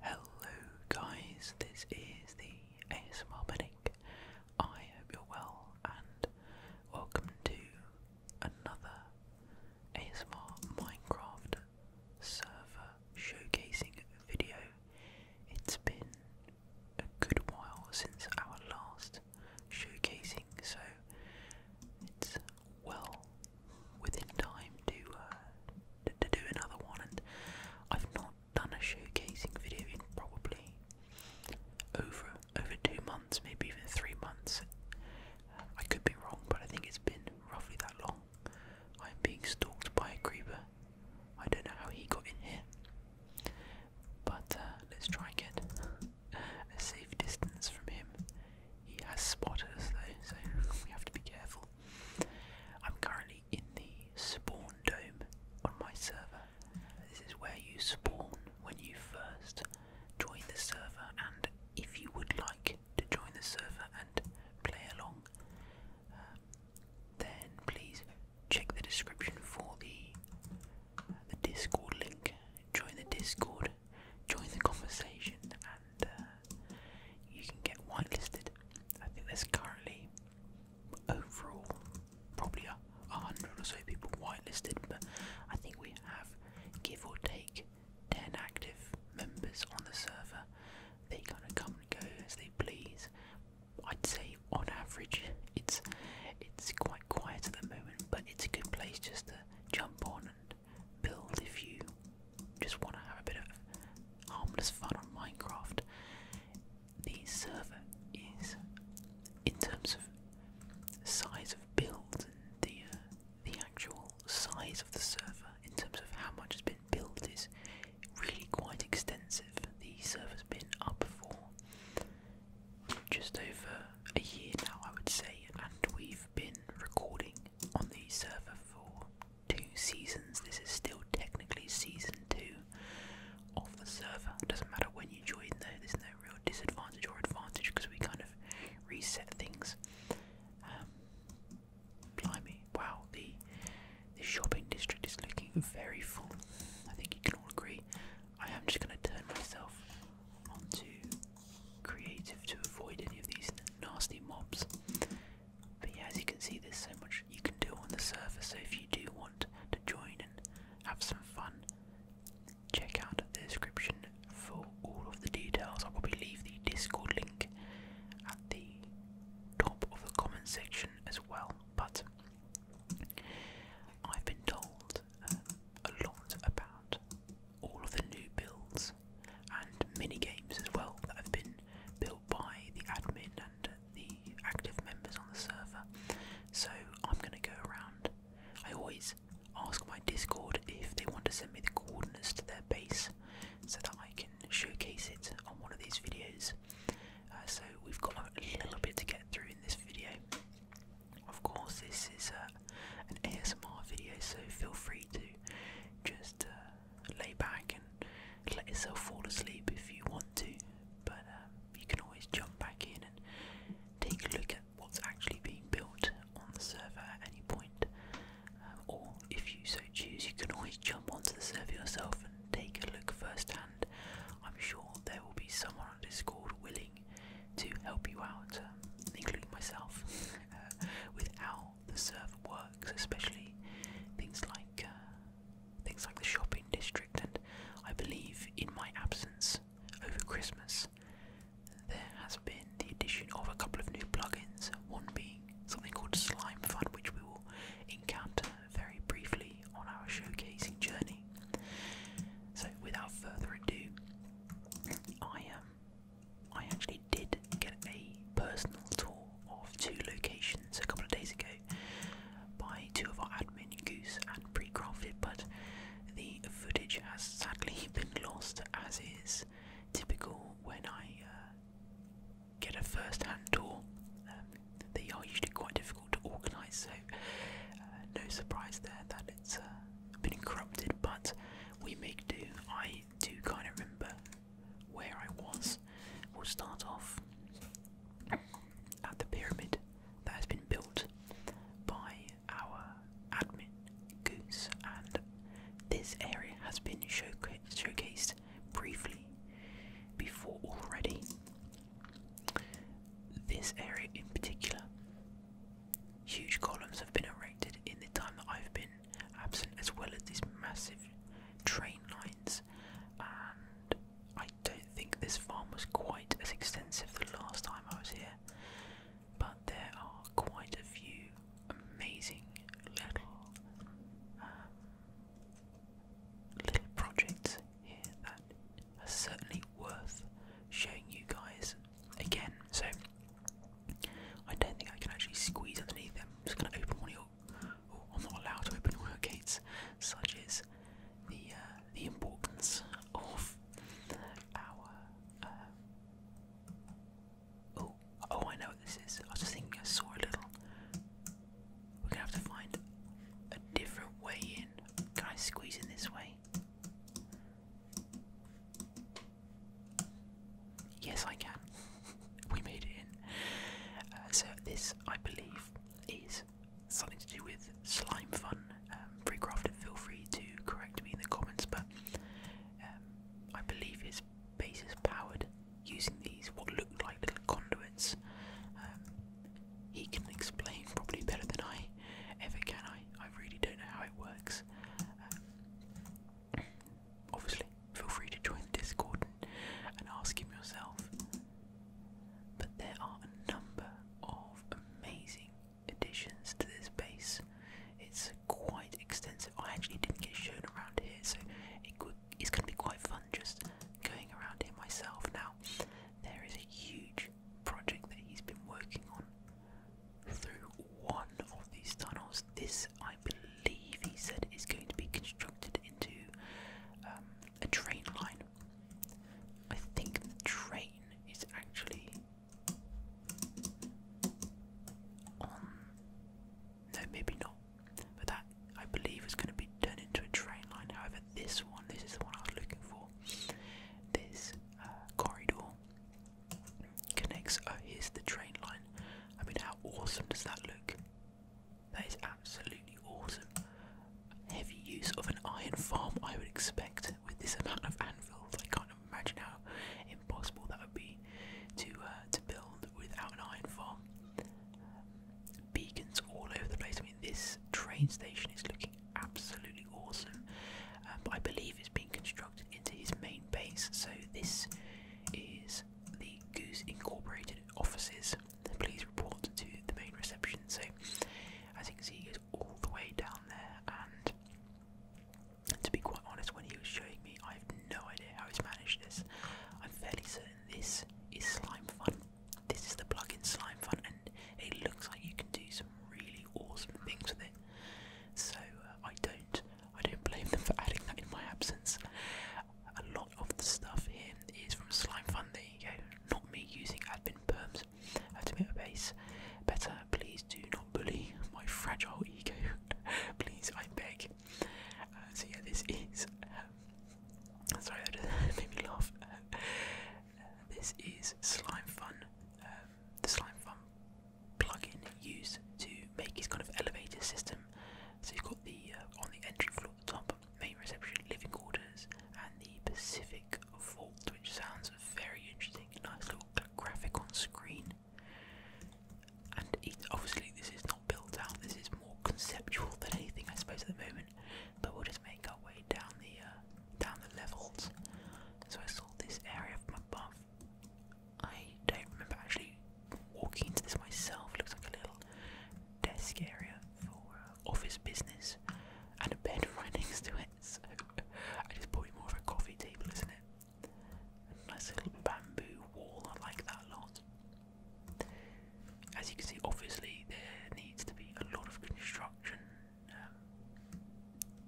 Hello guys, this is the ASMR Medic. I hope you're well and welcome to another ASMR Minecraft server showcasing video. It's been a good while since our last showcasing, so it's well within time uh, to, to do another one. And I've not done a showcasing video in probably over over two months, maybe even three months. I could be wrong, but I think it's been roughly that long. I'm being stalked by a creeper. I don't know how he got in here, but uh, let's try and get a safe distance from him. He has spotted us though, so we have to be careful. I'm currently in the spawn dome on my server. This is where you spawn when you first join the server, and if you would like to join the server and play along, um, then please check the description for the uh, the Discord link. Join the Discord, join the conversation, uh, you can get whitelisted. I think there's currently overall probably a hundred or so people whitelisted, but I think we have give or take ten active members on the server. They kind of come and go as they please. I'd say on average it's it's quite quiet at the moment, but it's a good place just to jump on and build if you just want to have a bit of harmless fun on Minecraft, the server is, in terms of size of build and the uh, the actual size of the server, in terms of how much has been built, is really quite extensive. The server's been up for just over a year now, I would say, and we've been recording on the server for two seasons. This is still technically season two of the server. doesn't matter when you join though, there's no real disadvantage or advantage because we kind of reset things. Um, blimey, wow, the, the shopping district is looking very full. I think you can all agree. I am just going to turn myself onto creative to avoid any of these nasty mobs. But yeah, as you can see, there's so much you can do on the surface. So if you do want to join and have some fun, check out the description for all of the details. I'll probably leave the Discord link at the top of the comment section as well. But I've been told um, a lot about all of the new builds and mini games as well that have been built by the admin and the active members on the server. So I'm going to go around. I always ask my Discord if they want to send me the coordinates to their base so that I can showcase it on one of these videos. Uh, so we've got a little bit to get through in this video. Of course, this is uh, an ASMR video, so feel free to just uh, lay back and let yourself fall asleep if you want to, but um, you can always jump back in and take a look at what's actually being built on the server at any point. Uh, or if you so choose, you can always jump onto the server yourself and take a look firsthand. I'm sure there will be someone on Discord willing to help you out, um, including myself, uh, with how the server works, especially things like uh, things like the shopping district. And I believe, in my absence over Christmas, there has been the addition of a couple of new plugins. One being something called Slime Fun, which we will encounter very briefly on our showcasing journey. So, without further ado, I um, I actually did get a personal tour of two locations a couple of days ago by two of our admin, Goose and Precrafted, but the footage has sadly been lost, as is typical when I uh, get a first hand tour. Um, they are usually quite difficult to organise, so uh, no surprise there that it's uh, been corrupted, but we make do. I do kind of remember where I was. We'll start off at the pyramid that has been built by our admin Goose, and this area has been showcased briefly before already. This area in particular, huge columns have been erected in the time that I've been absent, as well as these massive train lines, and I don't think this farm was quite as extensive the last time I was here, but there are quite a few amazing little um, little projects here that are certainly worth showing you guys again. So I don't think I can actually squeeze underneath them. just going to open one of your seal, or, not allowed to open all her gates, such as the uh, the importance of our. Uh, oh, oh, I know what this is. I was just thinking I saw a little. We're gonna have to find a different way in. Can I squeeze in this way? Yes, I can we made it in. Uh, so this, I believe, is something to do with slime fun. Um, Freecrafted, feel free to correct me in the comments, but um, I believe his base is powered using these what looked like little conduits. Um, he can explain probably better than I ever can. I I really don't know how it works. Um, obviously, feel free to join the Discord and, ask him yourself. But there are a number of amazing additions to this base. It's quite extensive. I actually didn't get shown around here, so it could, it's going to be quite fun just going around here myself. Now, there is a huge project that he's been working on through one of these tunnels. This, I believe believe he said is going to be constructed into um, a train line. I think the train is actually on. No, maybe not. But that I believe is going to be turned into a train line. However, this one, this is the one I was looking for. This uh, corridor connects. Oh, here's the train line. I mean, how awesome does that look? That is absolutely awesome. Heavy use of an iron farm, I would expect, with this amount of anvils. I can't imagine how impossible that would be to uh, to build without an iron farm. Beacons all over the place. I mean, this train station is looking absolutely awesome, um, but I believe it's being constructed into his main base. So this is the Goose Incorporated offices please report to the main reception. So, as you can see, he was all the way down there, and to be quite honest, when he was showing me, I have no idea how he's managed this. I'm fairly certain this is Slime Fun. This is the plug-in Slime Fun, and it looks like you can do some really awesome things with it. So uh, I don't, I don't blame them for adding that in my absence a lot of the stuff here is from Slime Fun. There you go. Not me using admin perms. I have to make my base better. Please do not bully my fragile ego. Please, I beg. Uh, so yeah, this is. Um, sorry, that just made me laugh. Uh, this is Slime Fun. Um, the Slime Fun plugin used to make this kind of elevator system. So you've got the uh, on the entry floor at the top, main reception, living quarters, and the Pacific Vault, which sounds very interesting. Nice little graphic on screen. And obviously, this is not built out, this is more conceptual than anything, I suppose, at the moment. But we'll just make our way down the uh, down the levels. So I saw this area from above. I don't remember actually walking into this myself. Looks like a little desk area for uh, office business and a bed right next it. I just put more of a coffee table, isn't it? nice little bamboo wall. I like that a lot. As you can see, obviously there needs to be a lot of construction. Um,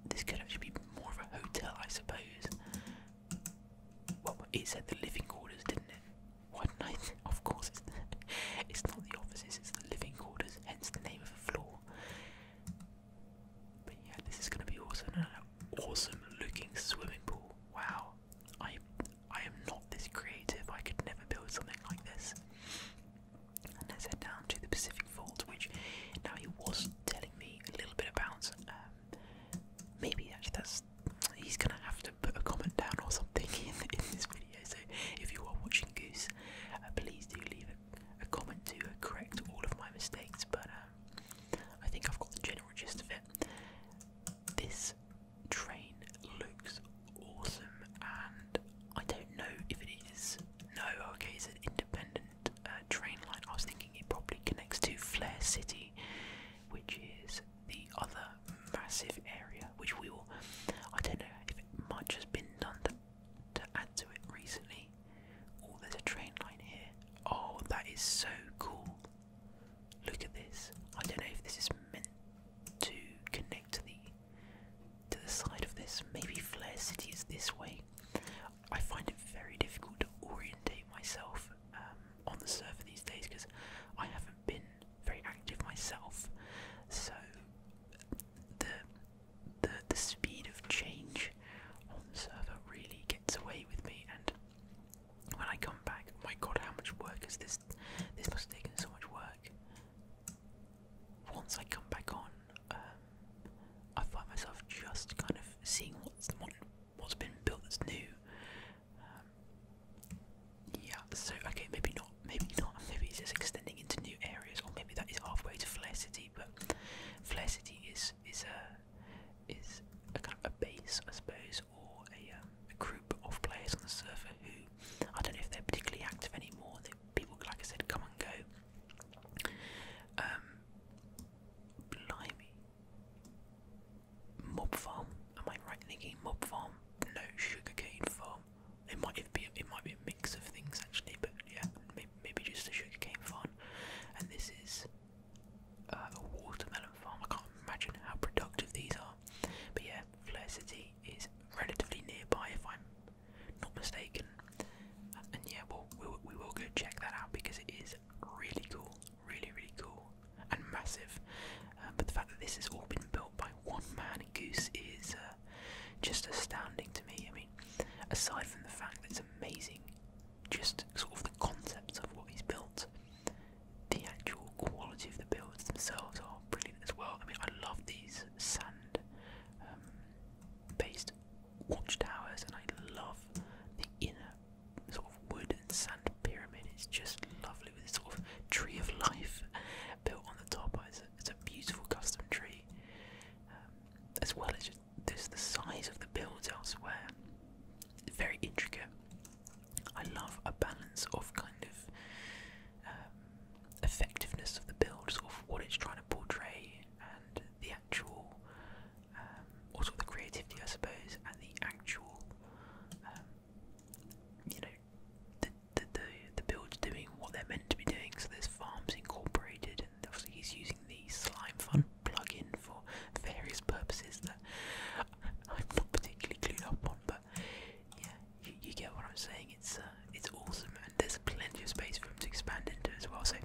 this could actually be more of a hotel, I suppose. Well, it said the living quarters, didn't it? Why did Of course, it's, not the offices, it's the living quarters, hence the name of the floor. But yeah, this is going to be awesome. An awesome looking swimming pool. Wow. I, I am not this creative. I could never build something like this. And let's down to the Pacific Fault, which now he was telling me a little bit about. Um, maybe actually that's he's gonna have to put a comment down or something in, this video. So if you are watching Goose, uh, please do leave a, comment to correct all of my mistakes. But um, I think I've got the general gist of it. This train looks awesome, and I don't know if it is. No, okay, it's an independent uh, train line. I was thinking it probably connects to Flare City which is the other massive area, which we will. I don't know if much has been done to, to add to it recently. Oh, there's a train line here. Oh, that is so cool. Look at this. I don't know if this is meant to connect to the to the side of this. Maybe Flare City is this way. I find it very difficult to orientate myself um, on the server these days because I haven't been very active myself, so the the the speed of change on server really gets away with me. And when I come back, oh my God, how much work is this? This must taken so much work. Once I come back on, um, I find myself just kind of seeing what's what, what's been built that's new, um, yeah, so okay, maybe not, maybe not, maybe it's just extending into new areas, or maybe that is halfway to Flare City, but Flare City is is a is a kind of a base, I suppose, or a, um, a group of players on the server who I don't know if they're particularly active anymore. That people, like I said, come and go. Um, blimey, Mob Farm. Am I right thinking mob farm? No, sugarcane farm. It might be it might be a mix of things actually, but yeah, maybe, just a sugarcane farm. And this is uh, a watermelon farm. I can't imagine how productive these are. But yeah, Flare City is relatively nearby if I'm not mistaken. And yeah, we'll, we'll go check that out because it is really cool, really really cool and massive. Uh, but the fact that this has all been built by one man goose is uh, just astounding to me. I mean, aside from the fact that it's amazing, just sort of the concepts of what he's built, the actual quality of the builds themselves are brilliant as well. I mean, I love these sand um, based watchtowers, and I love the inner sort of wood and sand pyramid. It's just lovely with this sort of tree of life built on the top. It's a, beautiful custom tree, um, as well as just the size of the builds elsewhere. very intricate. I love a balance of kind of um, effectiveness of the build, of what it's trying to portray, and the actual, um, also the creativity, I suppose, and the actual, you know, the, the, the build's doing what they're meant to be doing. So there's farms incorporated, and obviously he's using the Slime Fun plugin for various purposes that I'm not particularly clued up on. But yeah, you, you get what I'm saying. It's uh, it's awesome, and there's plenty of space for him to expand into as well. So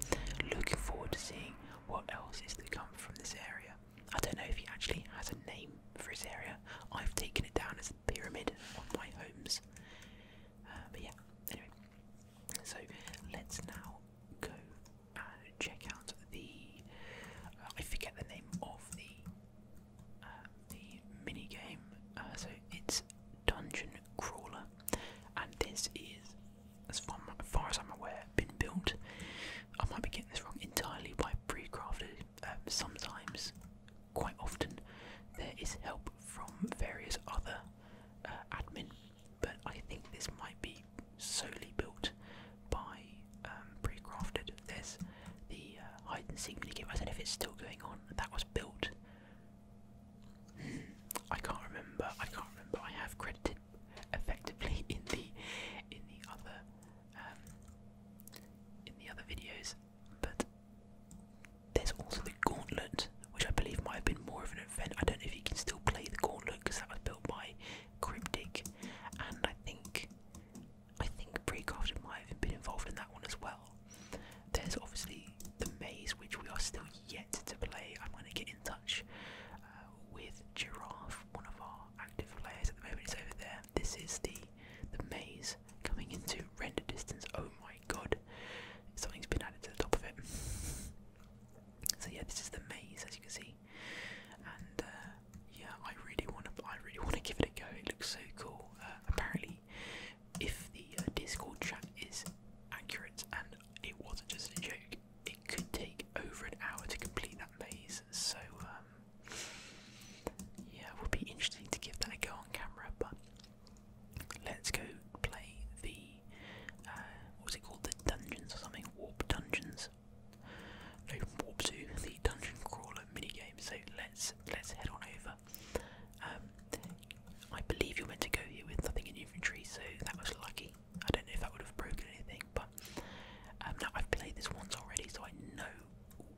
looking forward to seeing what else is to come from this area. I don't know if he actually has a name for his area. I've taken it down as a pyramid on my homes. Uh, but yeah, anyway. So let's now go and check out the. Uh, I forget the name of the uh, the mini game. Uh, so it's Dungeon Crawler, and this is, as far, as I'm aware, been built. I might be getting this wrong entirely by pre-crafted. Um, sometimes quite often there is help from various other uh, admin, but I think this might be solely built by um, pre-crafted. There's the uh, hide and seek minigame. I don't know if it's still going on. That was built. I can't remember. I can't remember. I have credited effectively in the in the other um, in the other videos but there's also the Gauntlet, which I believe might have been more of an event. I don't know if you can still play the Gauntlet because that was built by Cryptic, and I think I think Precrafted might have been involved in that one as well. There's obviously the Maze, which we are still yet to play. I'm going to get in touch uh, with Giraffe, one of our active players at the moment. It's over there. This is the the Maze coming into render distance. Oh my god, something's been added to the top of it. So yeah, this is the maze as you can see, and uh, yeah, I really want to, I really want to give it a go. It looks so cool. Uh, apparently, if the uh, Discord chat is accurate, and it wasn't just a joke, it could take over an hour to complete that maze. So um, yeah, it would be interesting to give that a go on camera, but let's go play the uh, what was it called? The dungeons or something? Warp dungeons. No, warp to the dungeon crawler mini game. So let's let's head on over. Um, I believe you're meant to go here with nothing in inventory, so that was lucky. I don't know if that would have broken anything, but um, now I've played this once already, so I know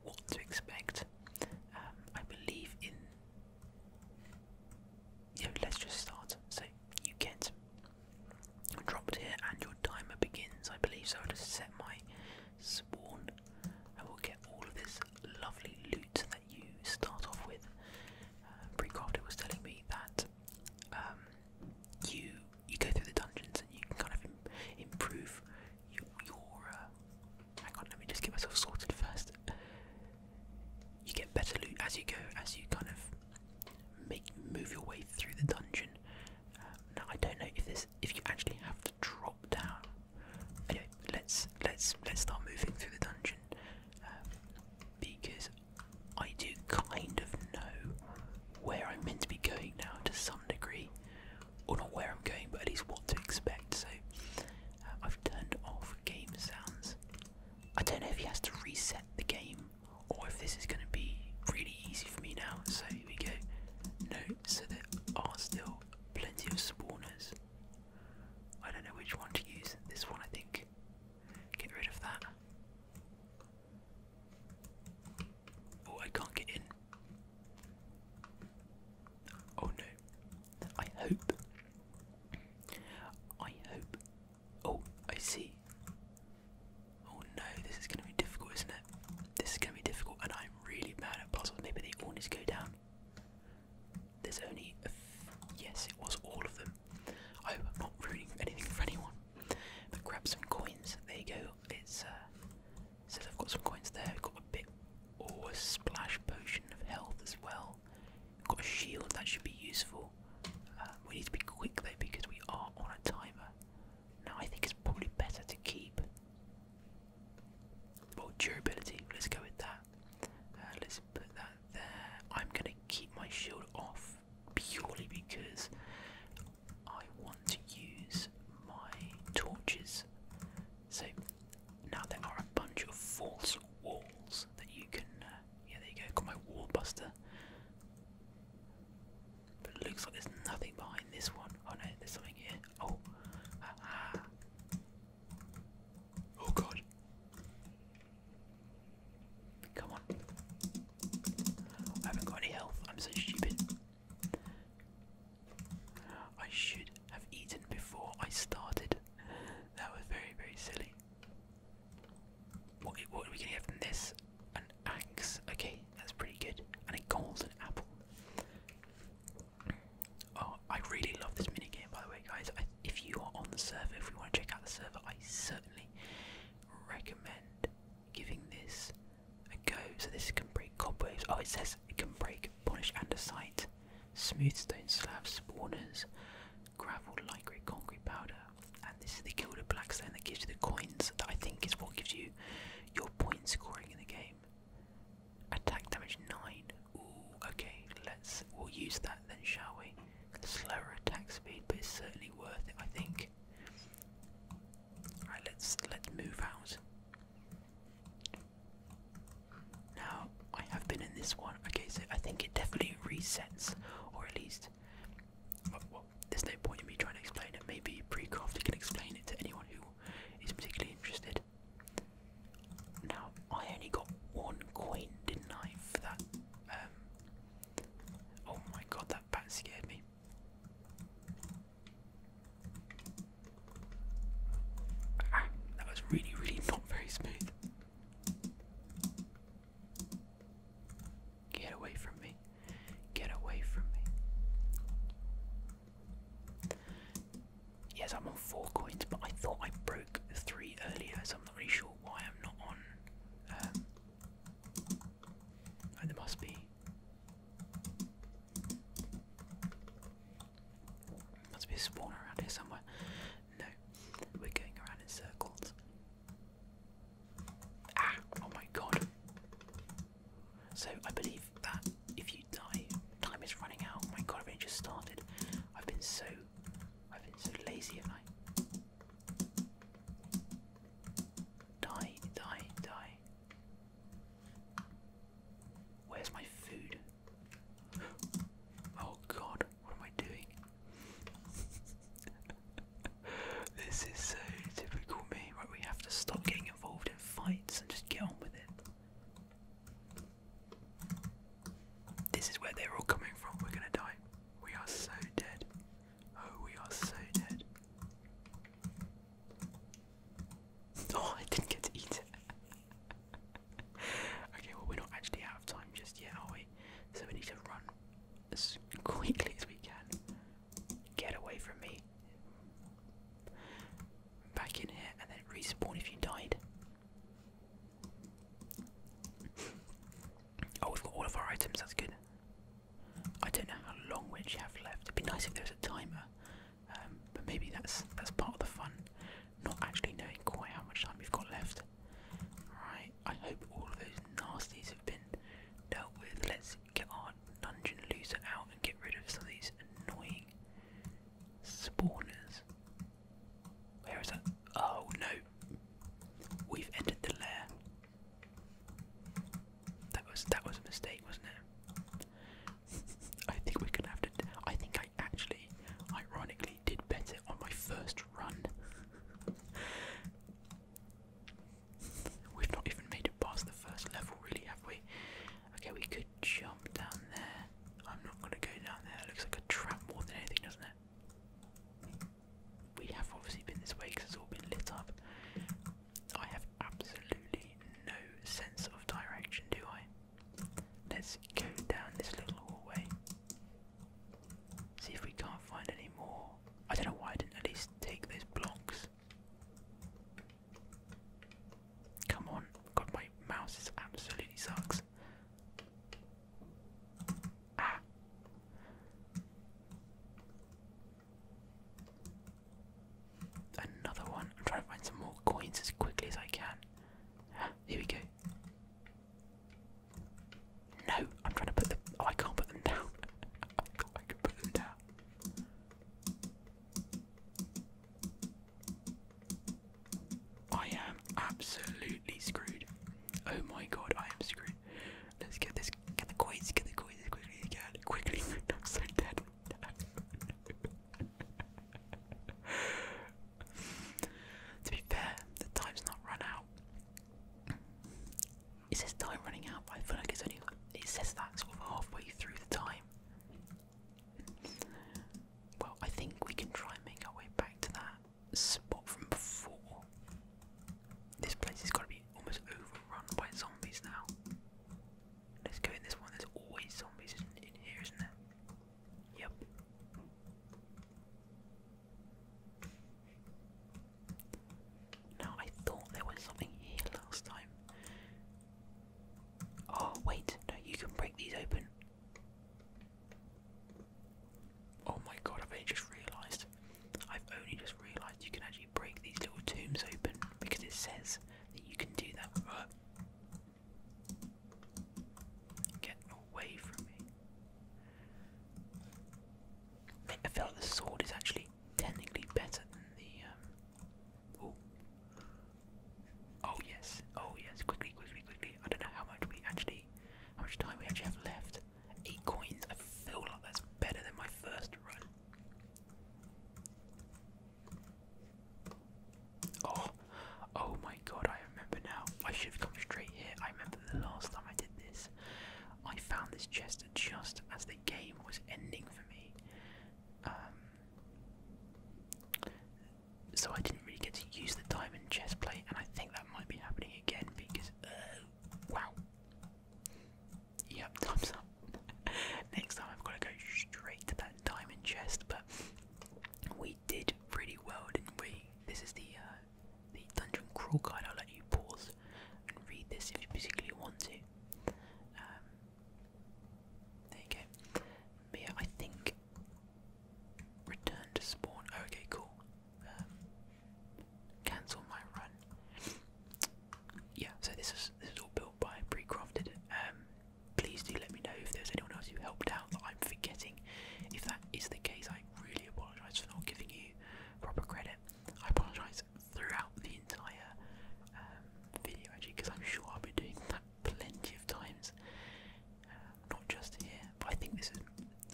what to expect. Um, I believe in. Yeah, let's just start. So you get dropped here, and your timer begins. I believe so. I'll just set my spawn. I will get all of this lovely loot that you start off with. Uh, Precrafter was telling me that um, you you go through the dungeons and you kind of improve you uh, hang on, let me just get myself sorted first. You get better loot as you go, as you kind of make move your way through the dungeon. Um, now I don't know if this, if you actually have to drop down. Anyway, let's let's let's start moving through the dungeon um, because I do kind of know where I'm meant to be going now to some degree or not where I'm going, but at least what to expect. So uh, I've turned off game sounds. I don't know if he has to reset the game or if this is going to be really easy for me now. So here we go. No, so there are still plenty of spawners. I don't know which one to use. This one, I think. Get rid of that. Oh, I can't get in. Oh no. I hope. I hope. Oh, I see. Oh no, this is gonna be difficult, isn't it? This is gonna be difficult, and I'm really bad at puzzles. Maybe they all need to go down. There's only a. yes, it was all of them. I I'm not ruining anything for anyone. But grab some coins. There you go. It's uh, so they've got some coins there. We've got a bit or a splash potion of health as well. got a shield that should be useful. Uh, we need to be quick though because we are on a timer. Now I think it's probably better to keep well durability. Let's go with that. Uh, let's put that there. I'm gonna keep my shield off purely because I want to use my torches so now there are a bunch of false walls that you can. Uh, yeah, there you go. Got my wall buster. But looks like there's nothing behind this one. Oh no, there's something here. Oh. Oh god. Come on. I haven't got any health. I'm so stupid. I should have eaten before I started. That was very, very silly. What, what are we going to get from this? An axe. Okay, that's pretty good. And a golden apple. Oh, I really love this minigame, by the way, guys. if you are on the server, if we want to check out the server, I certainly recommend giving this a go. So this can break cobwebs. Oh, it says it can break like andesite, smooth stone slabs, spawners, gravel, light grey concrete powder, and this is the gilded black stone that gives you the coins that I think is what gives you your point scoring in the game. Attack damage 9. Ooh, okay, let's we'll use that then shall we? Slower attack speed, but it's certainly worth it I think. Alright, let's let's move out. Now, I have been in this one. Okay, so I think it definitely resets, or at least. Uh, there's no point in me trying to explain it. Maybe pre Precrafty can explain it to anyone who is particularly interested. Now, I only got one coin, did for that? Um, oh my god, that bat scared me that was really, really not very smooth. Get away from me. Get away from me. Yes, I'm on four coins, but I thought I broke three earlier, so I'm not really sure why I'm not on. Um, there must be. Must be a spawn around here somewhere. No, we're going around in circles. Ah! Oh my god. So I believe that if you die, time is running out. my god, i just started. I've been so, I've been so lazy, have I? Die, die, die. Where's my food? Oh god, what am I doing? this is so typical me. Right, we have to stop getting involved in fights and just get on with it. This is where they're all coming from. We're gonna die. We are so dead. Oh, we are so dead. Oh, I didn't get to eat okay, well, we're not actually out of time just yet, are we? So we need to run as quickly as we can. Get away from me. Back in here and then respawn if you died. Oh, we've got all of our items, that's good. I don't know how long we have left. It'd be nice if there was a timer um, but maybe that's that's part of the fun, not actually knowing quite how much time you've got left. Right, I hope all those nasties have been dealt with. Let's get our dungeon loser out and get rid of some of these annoying spawners. Where is that? Oh no, we've entered the lair. That was that was a mistake, wasn't it? I think we're gonna have to. I think I actually, ironically, did better on my first run. We've not even made it past the first level, really, have we? Okay, we could jump down there. I'm not gonna go down there. It looks like a trap more than anything, doesn't it? We have obviously been this way because it's all been lit up. I have absolutely no sense of direction, do I? Let's go down this little hallway. See if we can't find any more. I don't know why I didn't at least take those blocks. Come on. God, my mouse is absolutely sucks. Ah. Another one. I'm trying to find some more coins as quickly as I can. here we go. No, I'm trying to put them. Oh, I can't put them down. I thought put them down. I am absolutely screwed. Oh my god, I am screwed. Let's get this. Get the coins. Get the coins quickly again. Quickly. I'm so to be fair, the time's not run out. It says time running out, but I feel it's only it says that sort of halfway through the time. Well, I think we can try and make our way back to that spot from before. This place has got to be almost overrun by zombies now. Let's go in this one. There's always zombies in here, isn't there? Yep. Now I thought there was something here last time. Oh wait, no, you can break these open. Oh my god, I've only just realised. I've only just realised you can actually break these little tombs open because it says that you can do that. Uh, Get away from me. I feel like the sword is actually technically better than the. Um, Oh yes, oh yes, quickly, quickly, quickly. I don't know how much we actually, how much time we actually have left. Eight coins, I feel like that's better than my first run. Oh, oh my god, I remember now. I should have come straight here. I remember the last time I did this. I found this chest just as the game was ending for me. Um, so I didn't really get to use the diamond chest plate, and I think that might be happening again because, uh, wow. Yep, time's up. Next time I've got to go straight to that diamond chest, but we did pretty well, didn't we? This is the uh, the dungeon crawl guide. I'll let you pause and read this if you particularly want to. Um, there you go. yeah, I think return to spawn. okay, cool. Um, cancel my run. Yeah, so this is this is all built by pre-crafted. Um, please do let me know if there's anyone else who helped out that I'm forgetting. If that is the case, I really apologise for not giving you proper credit. I apologise throughout the entire um, video actually, because I'm sure I'll be doing that plenty of times, um, not just here. I think this is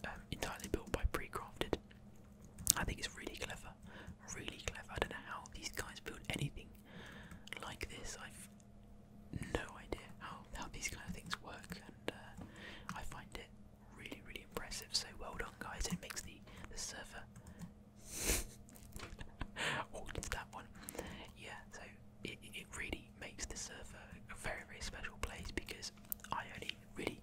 um, entirely built by pre-crafted. I think it's really clever, really clever. I don't know how these guys build anything like this. I've no idea how, how these kind of things work, and uh, I find it really, really impressive. So well done, guys! It makes the the server walked into that one. Yeah, so it it really makes the server a very, very special place because I only really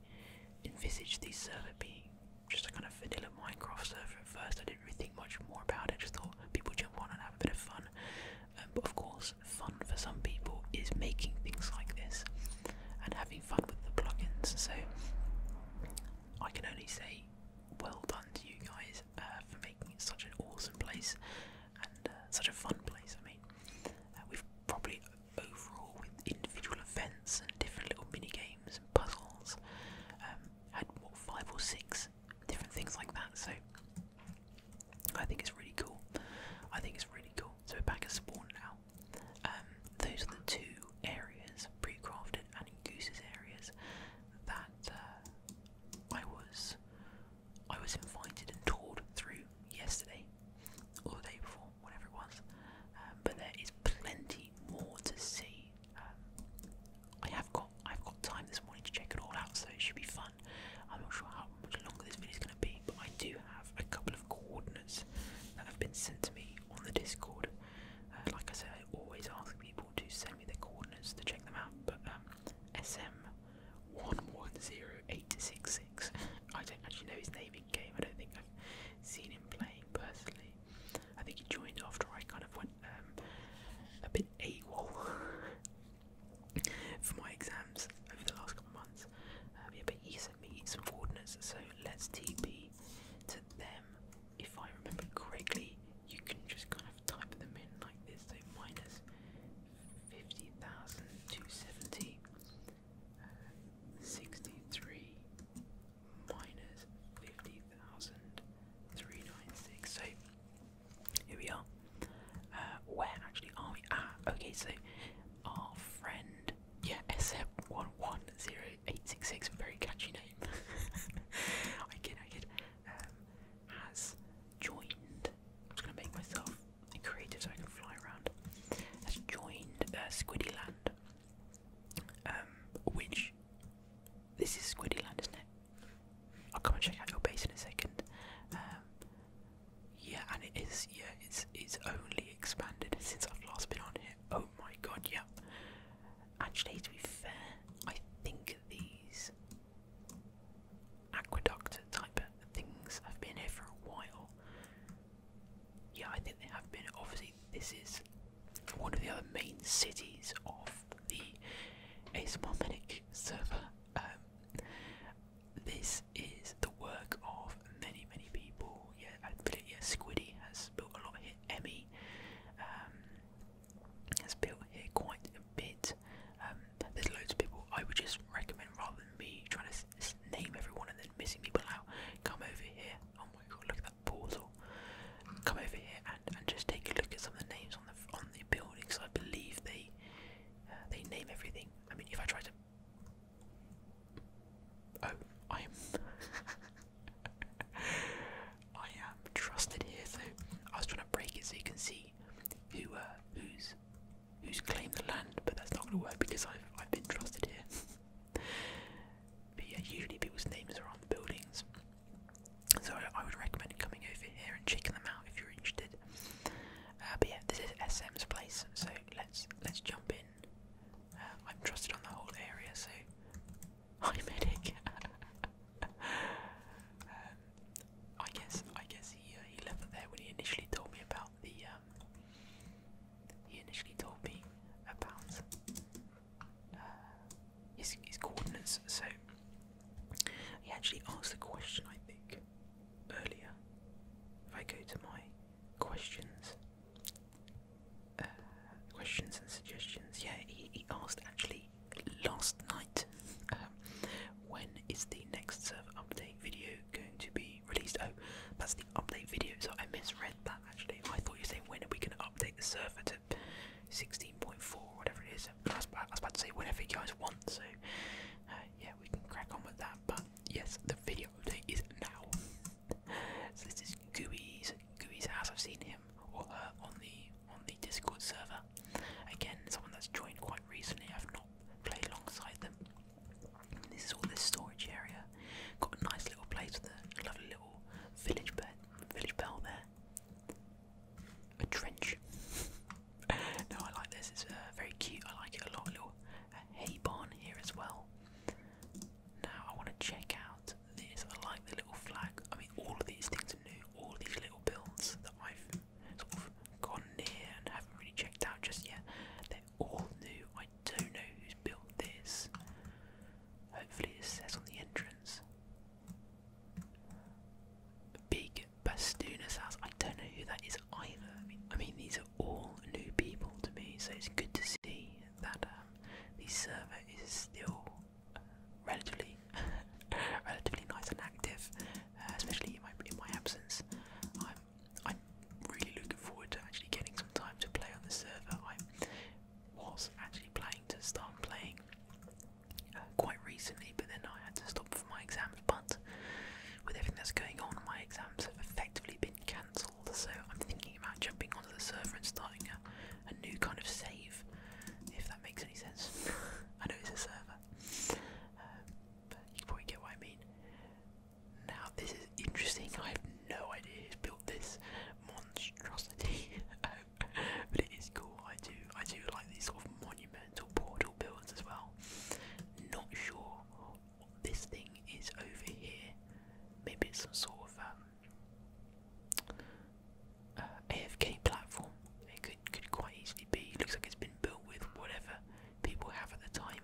envisaged this server being just a kind of vanilla Minecraft server at first. I didn't really think much more about it. Just thought people jump on and have a bit of fun. Um, but of course, fun for some people is making things like this and having fun with the plugins. So I can only say well done to you guys uh, for making such an awesome place and uh, such a fun place. I mean, uh, we've probably overall with individual events and different little mini games and puzzles um, had five or six different things like that. So I think it's really cool. I think it's really cool. So we're back at spawn now. Um, those are the two areas, pre-crafted and in Goose's areas, that uh, I was I was invited and toured through yesterday or the day before, whatever it was. Um, but there is plenty more to see. Um, I have got I've got time this morning to check it all out, so it should be fun. I'm not sure how much longer this video is going to be, but I do have a couple of coordinates that have been sent to me on the Discord. Uh, like I said, I always ask people to send me their coordinates to check them out, but um, SM110866, I don't actually know his name in game, I don't think I've seen him playing personally. I think he joined after I kind of went um, a bit AWOL for my exams over the last couple months. Um, yeah, but he sent me some coordinates, so let's TP to them. If I remember correctly, you can just kind of type them in like this. So minus 50,270, uh, 63, minus 50,396. So here we are. Uh, where actually are we? Ah, okay, so our friend, yeah, SF110866, very catchy name. I kid, I um, has joined. I'm just gonna make myself creative so I can fly around. Has joined uh, Squiddyland, um, which this is Squiddyland, isn't it? I'll come and check out your base in a second. Um, yeah, and it is. Yeah, it's it's only expanded since I've last been on here. Oh my god, yeah. Actually, to be fair, I think these aqueduct type things have been here for a while. Yeah, I think they have been. Obviously, this is one of the other main cities of the Asmomenic server. Um, this is the work of many, many people. Yeah, yeah Squiddy has built a lot here. Emmy um, has built here quite a bit. Um, there's loads of people. I would just recommend rather than me trying to name everyone and then missing people out, come over here. Oh my god, look at that portal. Come over here and, and just take a look at some of the names on the on the buildings. I believe they uh, they name everything. I mean, if I try to Oh, I am. I am trusted here. So I was trying to break it so you can see who uh, who's who's claimed the land, but that's not going to work because I've I've been trusted here. but usually people's names are on the buildings. So I would recommend coming over here and checking them out if you're interested. Uh, but yeah, this is SM's place, so let's let's jump in. Uh, I'm trusted on the whole area, so hi medic. um, I guess I guess he uh, he left it there when he initially told me about the. Um, he initially told me about uh, his his coordinates, so he actually asked the question. I think earlier. If I go to my questions, uh, questions and suggestions, yeah, he, asked actually last night um, when is the next server update video going to be released? Oh, that's the update video, so I misread that actually. I thought you were saying when are we going to update the server to 16.4 whatever it is. I was, about, to say whenever you guys want, so uh, yeah, we can crack on with that. But yes, the video update is now. so this is Gooey's Gooey's house. I've seen him or her on the on the Discord server. Again, someone that's joined quite recently. I've not played alongside them. This is all this storage area. Got a nice little place with a lovely little village bed, village bell there. A trench. no, I like this. It's uh, very cute. I like it a lot. little uh, hay barn here as well. Now I want to check out this. I like the little flag. I mean, all of these things are new. All these little builds that I've sort of gone near and haven't really checked out just yet. They're all new. I don't know who's built this. Hopefully, it says on the entrance. Big Bastoona's house. I don't know who that is either. I mean, I mean these are all new people to me, so it's good to see that um, the server is still uh, relatively, relatively nice and active, uh, especially in my in my absence. I'm I'm really looking forward to actually getting some time to play on the server. I was actually planning to start playing uh, quite recently, but then I had to stop for my exam, but with everything that's going on, my exams have effectively been cancelled. So I'm thinking about jumping onto the server and starting a, new kind of save, if that makes any sense. I know it's a server, um, but you probably get what I mean. Now this is interesting. I have no idea who's built this monstrosity, um, but it is cool. I do, I do like these sort of monumental portal builds as well. Not sure this thing is over here. Maybe it's some sort of um, uh, AFK platform. It could could quite easily be. looks like it's been built with whatever people have at the time.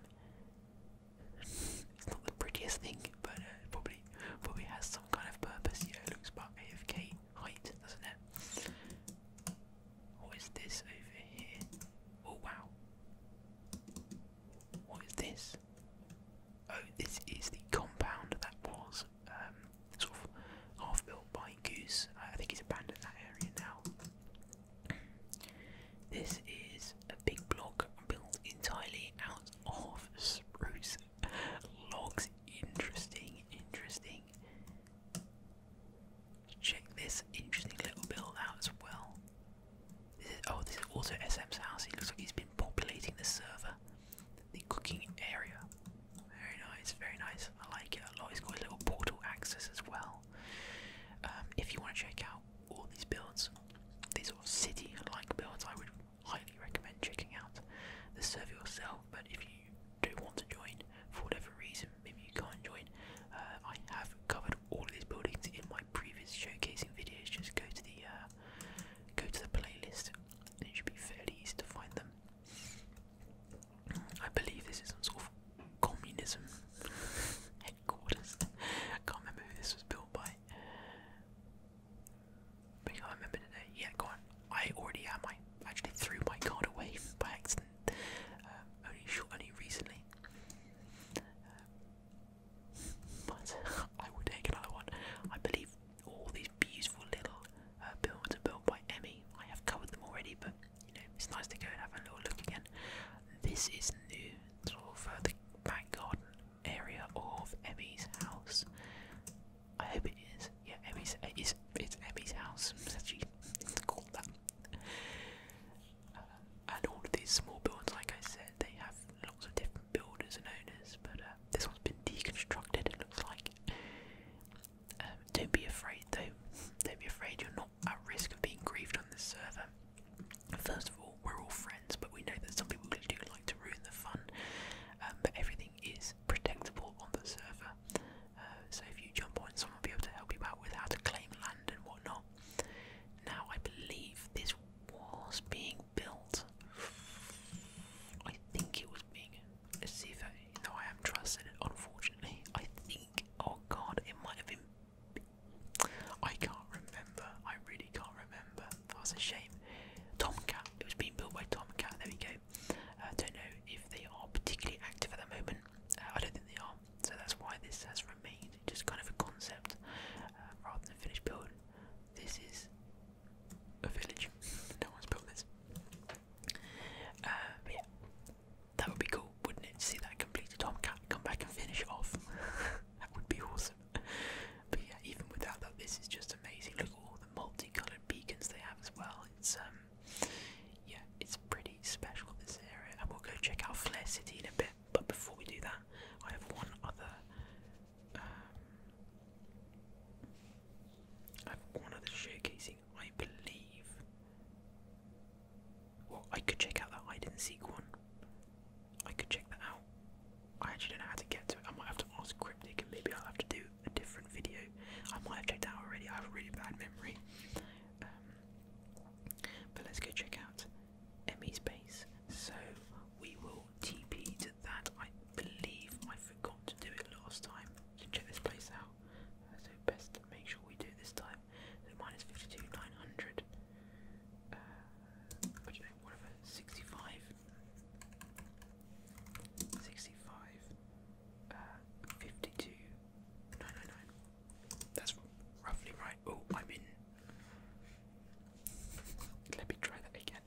it's not the prettiest thing, but uh, probably probably has some kind of purpose. Yeah, it looks about AFK height, doesn't it? What is this over here? Oh wow. What is this? Oh, this is the compound that was um, sort of half built by Goose. I think he's abandoned that area now. This is a big block built entirely out of spruce logs. Interesting, interesting check this interesting little build out as well. This is, oh, this is also SM's house. It looks like he's been populating the server, the cooking area. Very nice, very nice. I like it a lot. He's got a little portal access as well. Um, if you want to check out all these builds, these sort of city-like builds, I would highly recommend checking out the server yourself. But if you do want to join for whatever reason, maybe you can't join. Uh, I have covered all these buildings in my previous showcasing videos. Just go to the uh, go to the playlist, and it should be fairly easy to find them. I believe this is some sort of communism headquarters. I can't remember who this was built by. But I remember today. Yeah, go on. I already am. I actually threw my card away by accident. Uh, only short, only recently but I will take another one. I believe all these beautiful little uh, buildings are built by Emmy. I have covered them already, but you know it's nice to go and have a little look again. This is new, sort of uh, the back garden area of Emmy's house. I hope it is. Yeah, Emmy's it is it's Emmy's house. It's called that uh, and all of these small buildings, like I said, they have lots of different builders and owners. But uh, this one's been deconstructed. It looks like. Um, don't be afraid, though. Don't be afraid. You're not at risk of being grieved on this server. First of all, we're all friends, but we know that some people do like to ruin the fun. Um, but everything is protectable on the server. Uh, so if you jump on, someone will be able to help you out with how to claim land and whatnot. Now, I believe this was being built. I think it was being. Let's see if I. know. I am trusted, unfortunately. I think. Oh god, it might have been. I can't remember. I really can't remember. That's a shame. Tomcat. It was being built by Tomcat. There we go. I uh, don't know if they are particularly active at the moment. Uh, I don't think they are. So that's why this has remained just kind of a concept uh, rather than a finished build. This is a village. no one's built this. Uh, but yeah, that would be cool, wouldn't it? To see that completed Tomcat come back and finish off. that would be awesome. But yeah, even without that, this is just amazing. Look at all the multicolored beacons they have as well. It's um, yeah, it's pretty special this area, and we'll go check out Flare City in a bit. But before we do that, I have one other. Um, I have one other showcasing, I believe. Well, I could check out that hide and seek one. I could check that out. I actually don't know how to get to it. I might have to ask Cryptic, and maybe I'll have to do a different video. I might have checked out already. I have a really bad memory. Um, but let's go check out Emmy's base. So we will TP to that. I believe I forgot to do it last time. So check this place out. so best make sure we do this time. So minus 52, 900. Uh, what whatever, 65. 65. Uh, 52, 999. That's roughly right. Oh, I'm in. Let me try that again.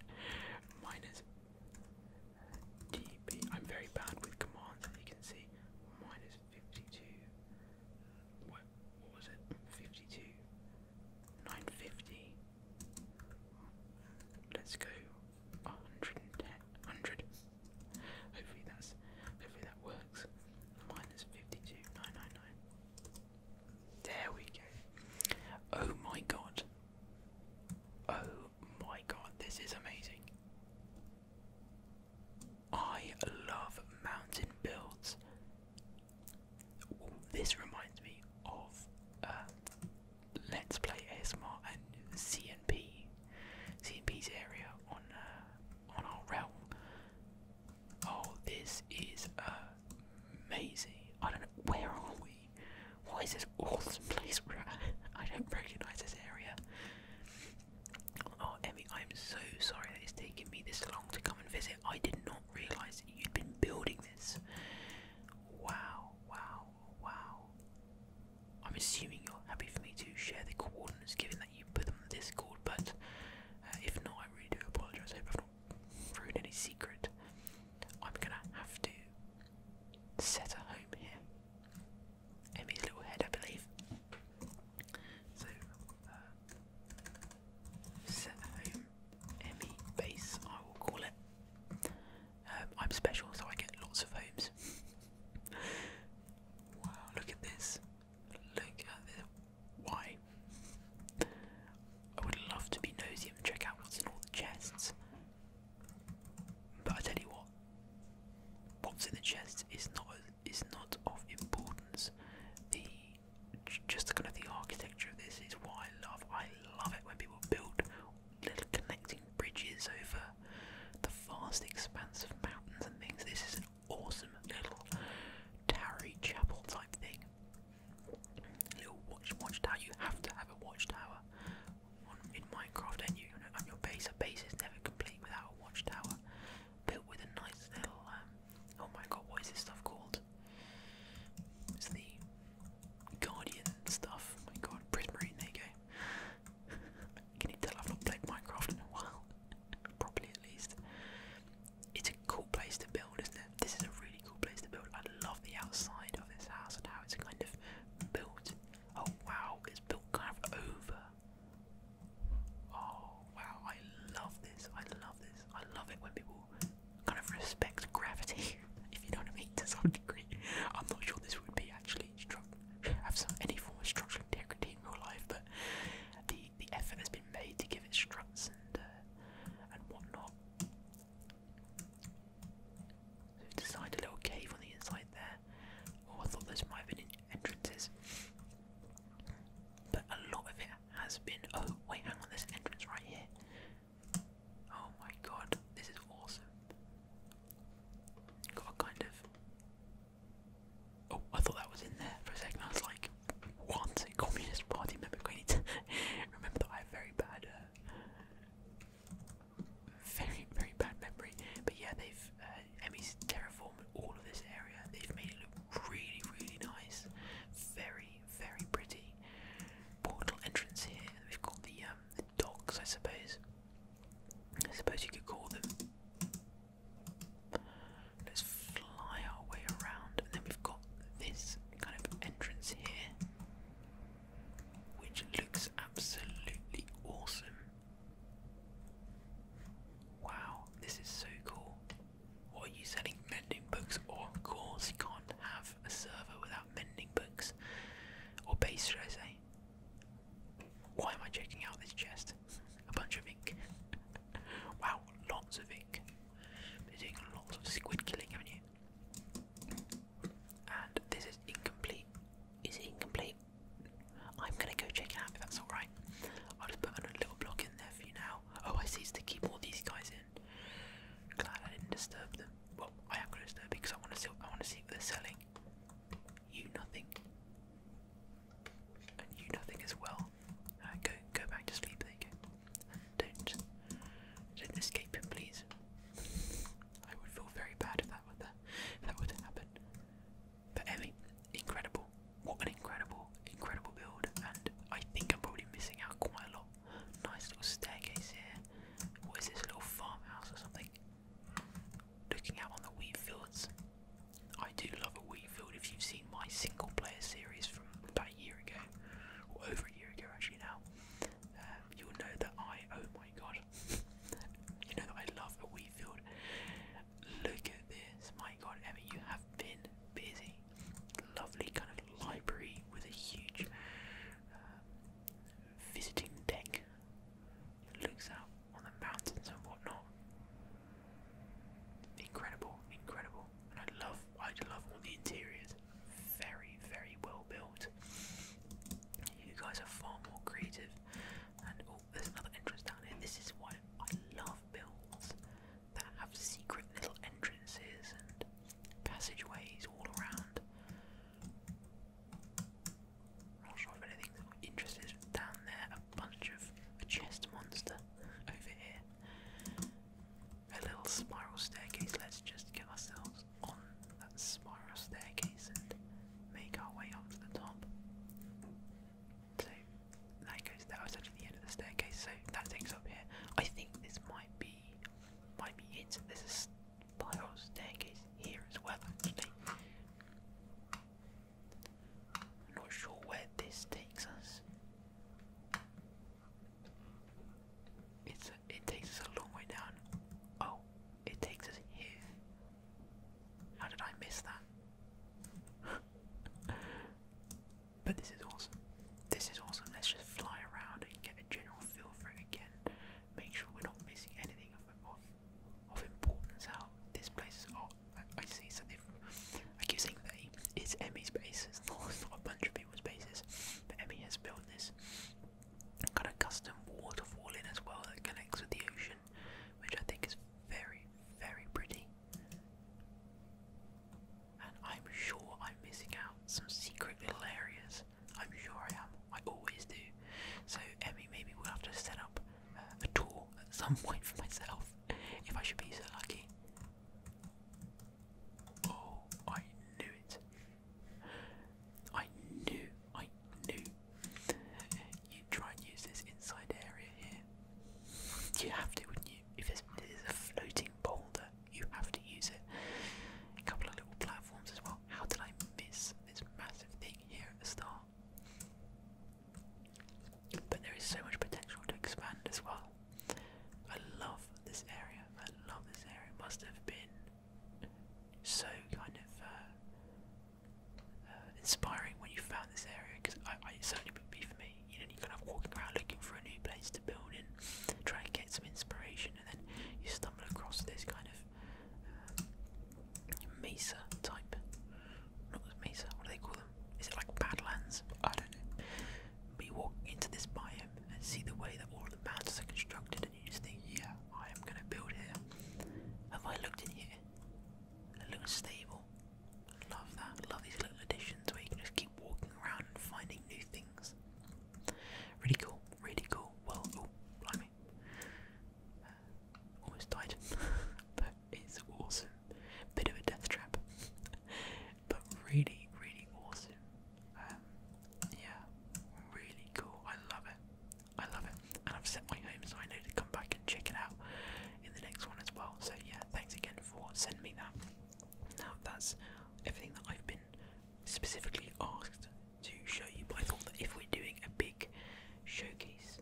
Minus dB. I'm very bad with commands, you can see. Minus 52. What, was it? 52. 950. Let's go 110. 100. Hopefully that's hopefully that works. Minus 52. 999. There we go. Oh my god. Oh my god, this is amazing. I love mountain builds. this reminds me of uh, Let's Play ASMR and CNP. CNP's area on uh, on our realm Oh, this is amazing. I don't know. Where are we? What is this awesome place we're at? I don't recognize this area. Oh, Emmy, I'm so sorry that it's taken me this long to come and visit. I did not realize that you'd been building this. Wow, wow, wow. I'm assuming you're happy for me to share the coordinates given that you put them on Discord, but uh, if not, I really do apologise. I I've not ruined any secret. I'm gonna have to set a home here. Emmy's little head, I believe. So, uh, set a home Emmy base, I will call it. Um, I'm special, so I get lots of homes. wow, look at this. Look at this. Why? I would love to be nosy and check out what's in all the chests. But I tell you what, what's in the chest is not is not of importance. The just kind of the architecture of this is what I love. I love it when people build little connecting bridges over the vast expanse of mountains and things. This is awesome little tarry chapel type thing. Little watch watchtower. You have to have a watchtower in Minecraft, and you on your base. A base is never complete without a watchtower built with a nice little. Um, oh my god, what is this stuff called? It's the Guardian stuff. Oh my god, Prismarine. There you go. Can you tell I've not played Minecraft in a while? Probably at least it's a cool place to build, isn't it? This is a really cool place to build. I love the outside of this house and how it's kind of built. Oh wow, it's built kind of over. Oh wow, I love this. I love this. I love it when people kind of respect gravity, if you know what I mean, to some degree. I'm not sure this would be actually have some any form of structural integrity in real life, but the the effort has been made to give it struts and uh, and whatnot. So designed a little cave on the inside there. Oh, I thought those might have been entrances. But a lot of it has been. Oh, wait, hang on, there's entrance right here. Oh my god, this is awesome. Got kind of. Oh, I thought that was in there for a second. I was like, once a Communist Party member going to remember I have very bad, uh, very, very bad memory. But yeah, they've, uh, Emmy's terraformed all of this area. They've made it look really, really nice. Very, very pretty. Portal entrance here. We've got the, um, the docks, I suppose. I suppose you could call them. Let's fly our way around, and then we've got this kind of entrance here, which looks absolutely awesome. Wow, this is so cool. What are you selling? Mending books? Oh, of course, you can't have a server without mending books. Or base, should I say. Why am I checking out this chest? A bunch of ink. wow, lots of ink. Been doing lots of squid killing, haven't you? And this is incomplete. Is it incomplete? I'm gonna go check it out if that's alright. I'll just put a little block in there for you now. Oh, I see it's keep all these guys in. Glad I didn't disturb them. Well, I am gonna disturb because I wanna see I wanna see what they're selling. You nothing. And you nothing as well go, go back to sleep. There Don't, don't escape please. I would feel very bad if that were uh, if that were to happen. But Emmy, incredible! What an incredible, incredible build. And I think I'm probably missing out quite a lot. Nice little staircase here. What is this? little farmhouse or something? Looking out on the wheat fields. I do love a wheat field. If you've seen my single player series from a year ago, or over a year ago actually now, um, you'll know that I, oh my god, you know that I love a wheat field. Look at this, my god, Emma, you have been busy. Lovely kind of library with a huge um, visiting deck. Looks out on the mountains and whatnot. Incredible, incredible. I love I love all the interiors. Very very well built. You guys are far more creative. And oh, there's another entrance down here. This is why I love builds that have secret little entrances and passageways all around. not sure if anything's interesting down there. A bunch of a chest monster over here a little spiral staircase. Let's just get ourselves on that spiral staircase and make our way up to the top. So that goes. That was actually the end of the staircase. So that takes up here. I think this might be might be it. There's a spiral staircase here as well. not sure where this takes us. It's it takes us a long way down. Oh, it takes us here. How did I miss that? but this is awesome. This is awesome. Let's just fly around and get a general feel for it again. Make sure we're not missing anything of, of, of importance How This place is oh, I, see. So they've I keep saying they, it's Emmy's base, it's not, a bunch of people's bases, but Emmy has built this kind of custom waterfall in as well that connects with the ocean, which I think is very, very pretty. And I'm sure I'm missing out some secret little areas. I'm sure I am. I always do. So Emmy, maybe we'll have to set up uh, a tour at some point for myself if I should be so lucky. Oh, I knew it. I knew, I knew. You'd try and use this inside area here. You have to, wouldn't you? If there's, there's a floating boulder, you have to use it. A couple of little platforms as well. How did I miss this massive thing here at the start? But there is so much potential to expand as well. I love this area. I love this area. It must have been so kind of uh, uh, inspiring when you found this area because I, I, it certainly would be for me. You know, you kind of walking around looking for a new place to build in, try and get some inspiration, and then you stumble across this kind of uh, mesa type. Not mesa. What do they call them? Is it like Badlands? I don't know me walk into this biome and see the way that all of the mountains are constructed, and you just think, yeah, I am gonna build here. Have I looked in here? It looks stable. Love that. Love these little additions where you can just keep walking around and finding new things. Really cool. Really cool. Well, oh, blimey. Uh, almost died. but it's awesome. Bit of a death trap. but really, really awesome. Um, yeah, really cool. I love it. I love it. And I've set my home so I know to come back and check it out in the next one as well. So yeah, thanks again for sending me that. Now that's everything that I've been specifically asked to show you. But I thought that if we're doing a big showcase,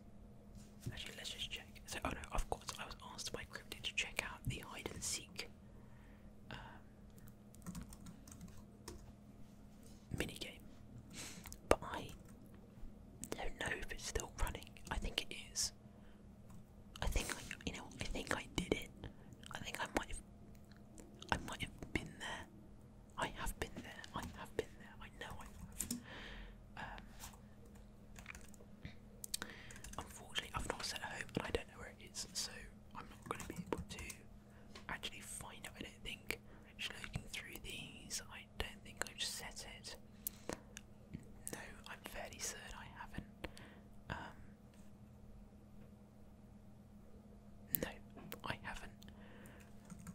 actually let's just check. So oh no, of course I was asked by Cryptid to check out the hide and seek uh, mini game, but I don't know if it's still running. I think it is. I think I, you know, I think I did it. I think I might have, I might have been there. I have been there. I have been there. I know I have. Um, unfortunately, I've not set a home, and I don't know where it is. So I'm not going to be able to actually find it. I don't think. Just looking through these, I don't think I've set it. No, I'm fairly certain I haven't. Um, no, I haven't.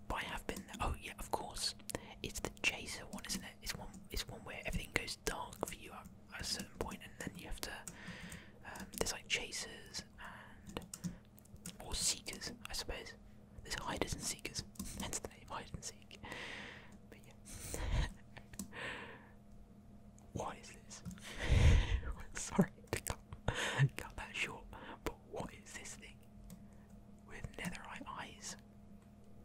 But I have been Oh yeah, of course. It's the chaser one, isn't it? It's one. It's one where everything goes dark for you at a certain point, and then you have to. Um, there's like chasers and or seekers, I suppose. There's hiders and seekers, That's the name hide and seek. But yeah. What is this? Sorry to cut, cut that short, but what is this thing with netherite eyes?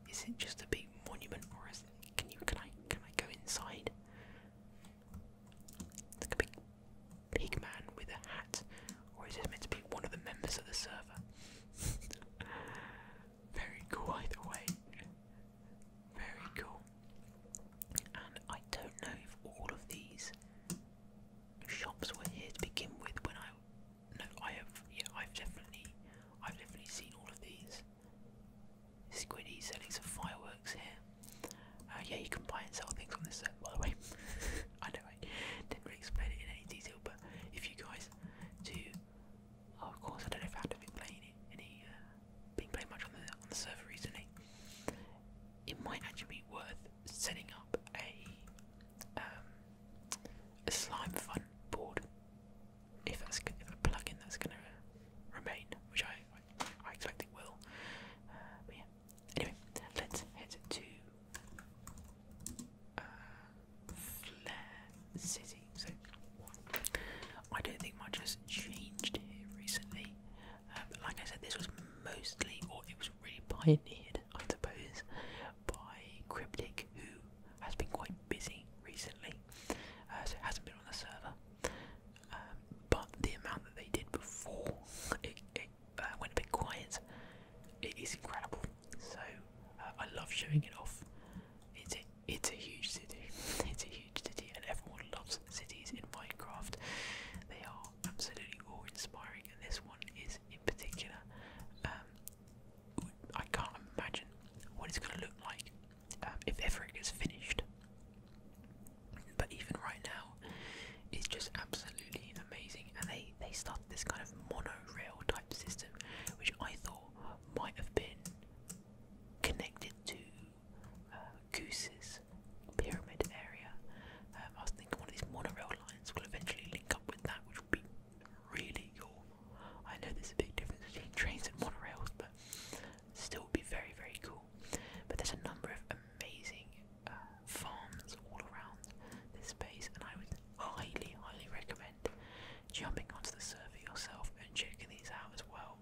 Is it just a big monument, or is can you can I can I go inside? like a big pig man with a hat, or is this meant to be one of the members of the server? Very cool either way. Very cool. And I don't know if all of these shops were here to begin with when I no I have yeah I've definitely I've definitely seen all of these. Squiddy selling some fireworks here. Uh, yeah, you can buy and sell things on this server. by the way. I know I didn't really explain it in any detail, but if you guys do, oh, of course, I don't know if I have been playing it, any, uh, been playing much on the on the server recently. It might actually be worth setting up a um, a slime fun board if that's if a plugin that's gonna remain, which I I, expect it will. Uh, but yeah. Anyway, let's head to uh, City. So I don't think much has changed here recently. Uh, but like I said, this was mostly, or it was really pioneered, I suppose, by Cryptic, who has been quite busy recently, uh, so hasn't been on the server. Um, but the amount that they did before it, it uh, quiet, it is incredible. So uh, I love showing it off. It's a, it's a huge city. It's a huge city, and everyone loves cities in Minecraft. They are absolutely awe-inspiring, and this one is in particular. Um, I can't imagine what it's going to look like um, if ever it gets finished. But even right now, it's just absolutely amazing. And they they started this kind of monorail type system, which I thought might have been connected to uh, Goose's pyramid area. Um, I was thinking one of these monorail lines will eventually link up with that, which would be really cool. I know there's a big difference between trains and monorails, but still be very very cool. But there's a number of amazing uh, farms all around this space, and I would highly, highly recommend jumping onto the server yourself and checking these out as well.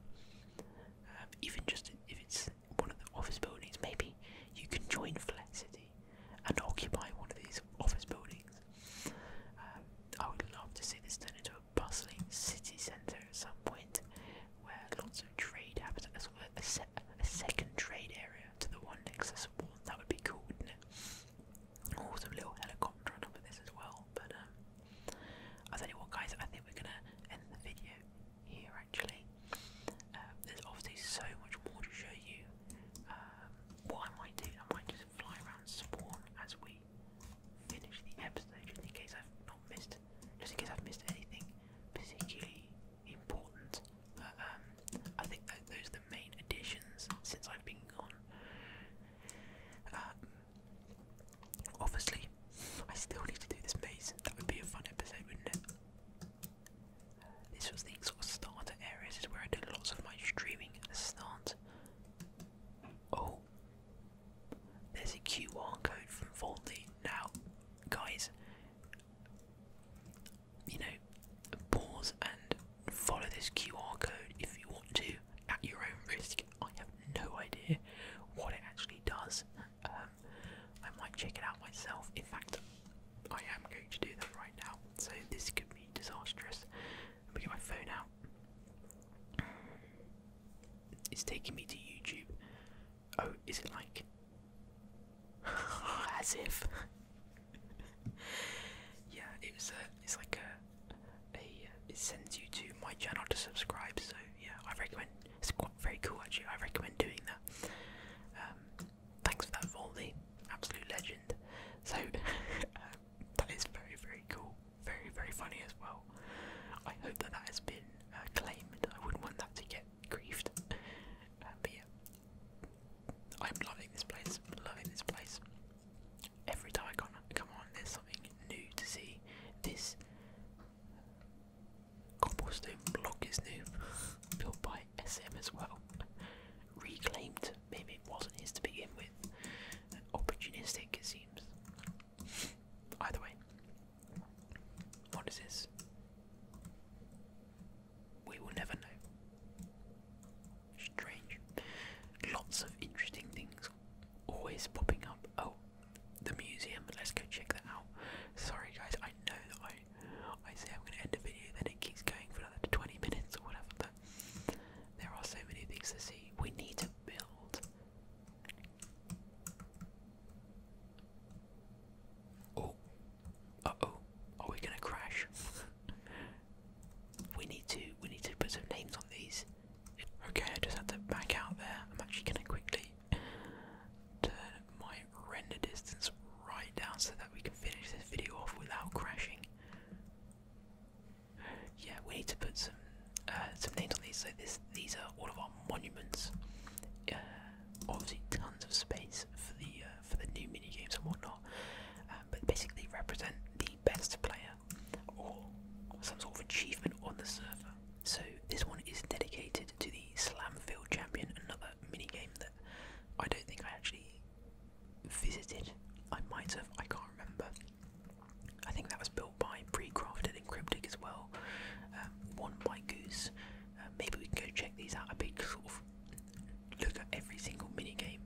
Um, even just if it's one of the office buildings, maybe you can join Flat City and occupy one of these office buildings. Um, I would love to see this turn into a bustling city centre at some point, where lots of trade happens. That's a, a second trade area to the one next to the wall. That would be cool, wouldn't it? Oh, little helicopter on top this as well. But um, I tell you what, guys, I think we're gonna end the video here. Actually, um, there's obviously so much more to show you. Um, what I might do, I might just fly around spawn as we finish the episode, just in case I've not missed it just in case I've missed anything particularly important. Um, I think those are the main additions since I've been gone. Um, obviously, I still need to do this maze. That would be a fun episode, wouldn't it? This was the sort of starter area. This is where I did lots of my streaming at the start. Oh, there's a QR code from Voldy. Now, guys, you know, pause and follow this QR code if you want to at your own risk. I have no idea what it actually does. Um, I might check it out myself. In fact, I am going to do that right now. So this could be disastrous. Let me get my phone out. It's taking me to YouTube. Oh, is it like as if? yeah, it was. A, it's like a, It sends you to my channel to subscribe. So yeah, I recommend. It's quite very cool actually. I recommend doing that. Um, thanks for that, Voldy, absolute legend. So um, that is very very cool, very very funny as well. I hope that that has been uh, claimed. I wouldn't want that to get grieved. Uh, but yeah, I'm loving this place. I'm loving this place. Every time I come, come on, there's something new to see. This cobblestone block is new, built by SM as well. Reclaimed, maybe it wasn't his to begin with. Opportunistic, it seems. Either way, what is this? We will never know. Strange. Lots of interesting things always popping up. Oh, the museum. Let's go check that out. Sorry guys, I know I I say I'm gonna end a video, then it keeps going for another 20 minutes or whatever, but there are so many things to see. We need to build Oh. Uh oh. Are we gonna crash? we need to we need to put some names on these. Okay, I just had to back out there. I'm actually gonna quickly turn my render distance right down so that we can finish this video off without crashing. Yeah, we need to put some uh, some names on these. So this these are all of our monuments. Uh, obviously tons of space for the uh, for the new mini games and whatnot. Um, but basically represent the best player or some sort of achievement on the server. So this one is dedicated to the Slam Field Champion, another mini game that I don't think I actually visited. I might have, I can't remember. I think that was built by Precrafted and Cryptic as well. Um, one by Goose, uh, maybe we can go check these out. A big sort of look at every single minigame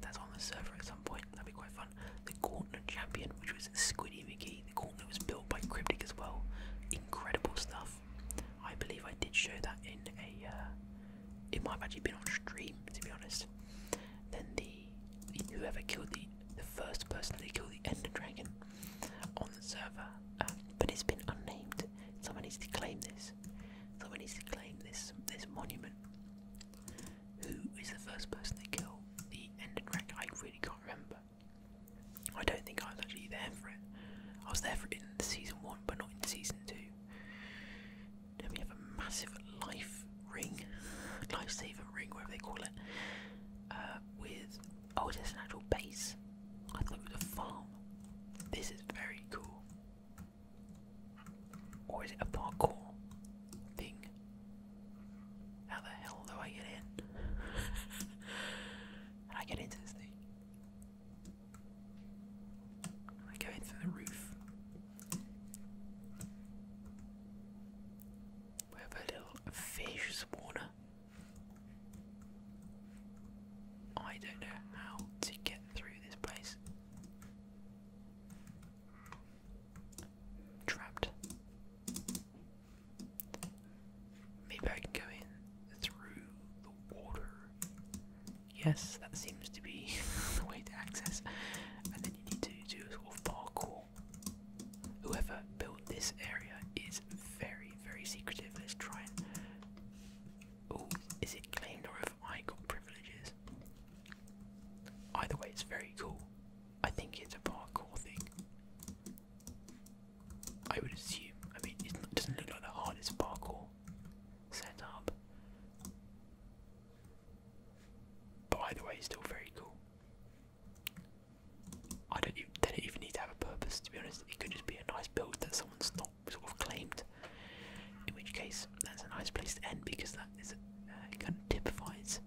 that's on the server at some point. That'd be quite fun. The Gauntlet Champion, which was Squiddy McGee. The Gauntlet was built by Cryptic as well. Incredible stuff. I believe I did show that in a. Uh, it might have actually been on stream, to be honest. Then the, whoever killed the the first person they killed the Ender Dragon on the server, um, but it's been unnamed. Someone needs to claim this. Someone needs to claim this this monument. Who is the first person to kill the Ender Dragon? I really can't remember. I don't think I was actually there for it. I was there for in season one, but not in season two. Then we have a massive life ring, lifesaver ring, whatever they call it, uh, with Oh, is this an actual base? I thought it was a farm. This is very cool. Or is it a parkour thing? How the hell do I get in? How do I get into this thing? Can I go through the roof? We have a little fish spawner. I don't know how to get through this place. Trapped. Maybe I can go in through the water. Yes, that seems to be the way to access. And then you need to do a sort of parkour. Whoever built this area is very very, secretive. Let's try and. Oh, is it claimed or if I got privileges? Either way, it's very cool. I think it's a parkour thing. I would assume. I mean, it doesn't look like the hardest parkour setup. But the way, it's still very cool. I don't even, they don't even need to have a purpose to be honest. It could just be a nice build that someone's not sort of claimed. In which case, that's a nice place to end because that is uh, kind of typifies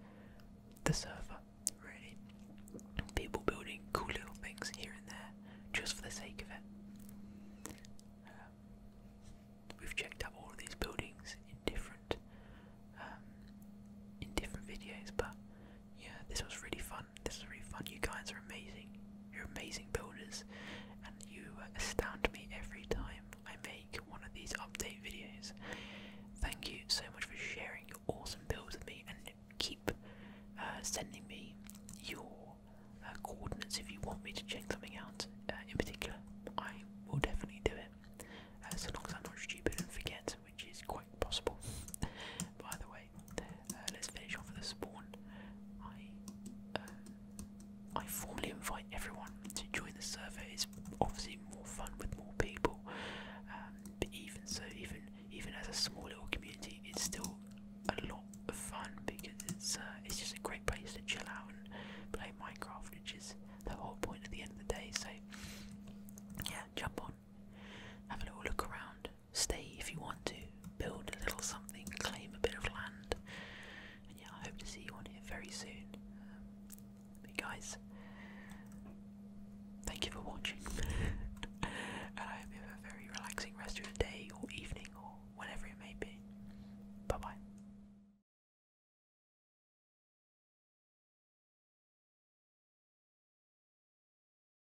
the server really. People building cool little things here and there just for the sake of it. Um, we've checked out all of these buildings in different um, in different videos, but yeah, this was really fun. This is really fun. You guys are amazing. You're amazing builders, and you astound me every time I make one of these update videos. Thank you so much for sharing your awesome builds with me, and keep uh, sending me your uh, coordinates if you want me to check something out uh, in particular. I will definitely do it, as long as I'm not stupid and forget, which is quite possible. By the way, uh, uh, let's finish off with the spawn. I, uh, I formally invite everyone to join the server. It's obviously more fun with more people, um, but even so, even even as a small little community, it's still a lot of fun because it's it's just a great place to chill out and play Minecraft, which is the whole point at the end of the day. So yeah, jump on, have a little look around, stay if you want to, build a little something, claim a bit of land. And yeah, I hope to see you on here very soon. but um, guys, thank you for watching. and I hope you have a very relaxing rest of your day or evening or whatever it may be. Bye bye.